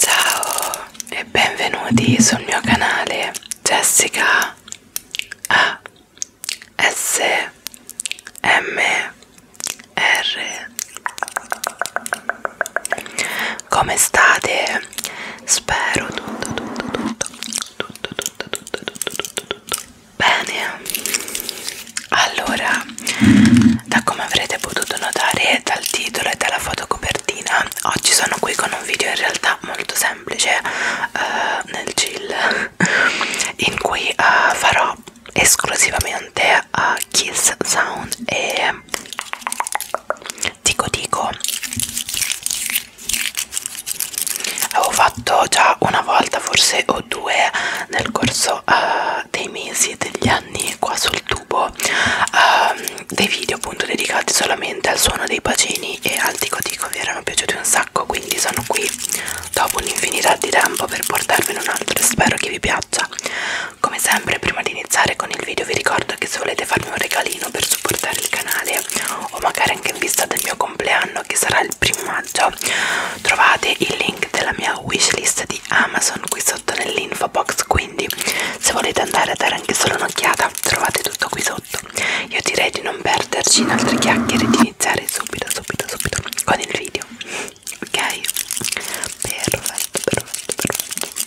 Ciao e benvenuti sul mio canale Jessica A S M R Come state? Spero tutto tutto tutto tutto, tutto, tutto, tutto, tutto, tutto. Bene, allora, da come avrete potuto notare dal titolo e dalla fotocopertina, oggi sono qui con un video in realtà molto semplice uh, nel chill, in cui uh, farò esclusivamente a uh, eh, kiss sound e dico dico avevo fatto già una volta forse o due nel corso uh, dei mesi e degli anni qua sul tubo uh, dei video appunto dedicati solamente al suono dei bacini e al dico dico vi erano piaciuti un sacco quindi sono qui dopo un'infinità di tempo per portarvene un altro e spero che vi piaccia come sempre prima di iniziare con il video vi ricordo che se volete farmi un regalino per supportare il canale Natale o magari anche in vista del mio compleanno che sarà il primo maggio trovate il link della mia wishlist di Amazon qui sotto nell'info box quindi se volete andare a dare anche solo un'occhiata trovate tutto qui sotto io direi di non perderci in altre chiacchiere e di iniziare subito subito subito con il video ok perfetto perfetto perfetto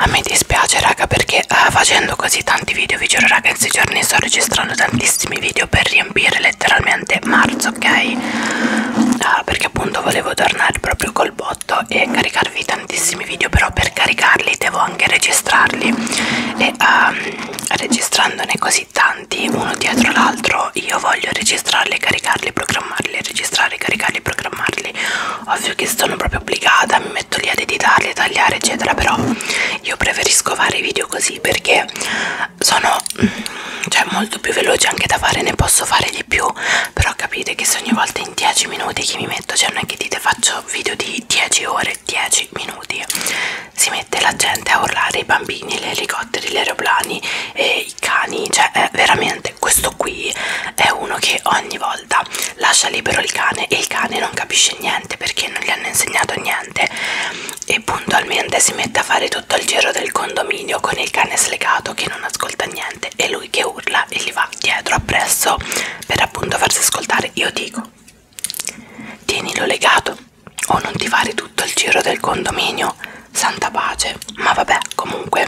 A me dispiace raga perché uh, facendo così tanti video vi giuro raga in 6 giorni sto registrando tantissimi video per riempire letteralmente marzo ok? Uh, perché appunto volevo tornare proprio col botto e caricarvi tantissimi video però per caricarli devo anche registrarli e uh, registrandone così tanti uno dietro l'altro io voglio registrarli, caricarli, programmarli, registrare, caricarli, programmarli ovvio che sono proprio obbligata mi metto lì ad editarli, a tagliare eccetera però io preferisco fare i video così perché sono cioè molto più veloci anche da fare ne posso fare di più però capite che se ogni volta in 10 minuti che mi metto cioè non è che dite faccio video di 10 ore 10 minuti si mette la gente a urlare i bambini gli elicotteri gli aeroplani e i cani cioè veramente questo qui è uno che ogni volta volta lascia libero il cane e il cane non capisce niente perché non gli hanno insegnato niente e puntualmente si mette a fare tutto il giro del condominio con il cane slegato che non ascolta niente e lui che urla e gli va dietro appresso per appunto farsi ascoltare io dico tienilo legato o non ti fare tutto il giro del condominio santa pace ma vabbè comunque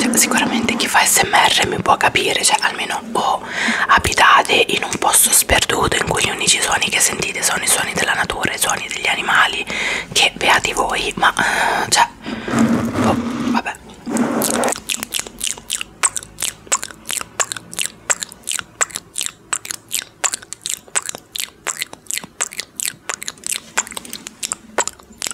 cioè, sicuramente chi fa smr mi può capire cioè almeno o oh, abitate in un posto sperduto in cui gli unici suoni che sentite sono i suoni della natura i suoni degli animali che beati voi ma eh, cioè oh, vabbè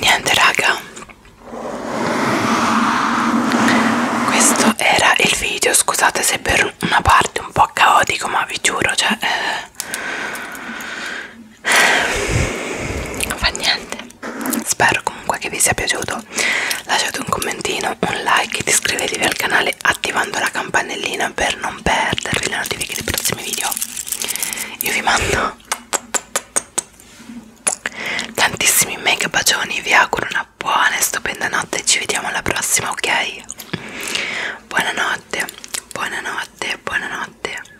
niente raga questo era il video scusate se per una parte un po' caotico ma vi giuro cioè eh, non fa niente spero comunque che vi sia piaciuto lasciate un commentino un like e iscrivetevi al canale attivando la campanellina per non perdervi le notifiche dei prossimi video io vi mando tantissimi mega bacioni vi auguro una buona e stupenda notte ci vediamo alla prossima ok buonanotte buonanotte buonanotte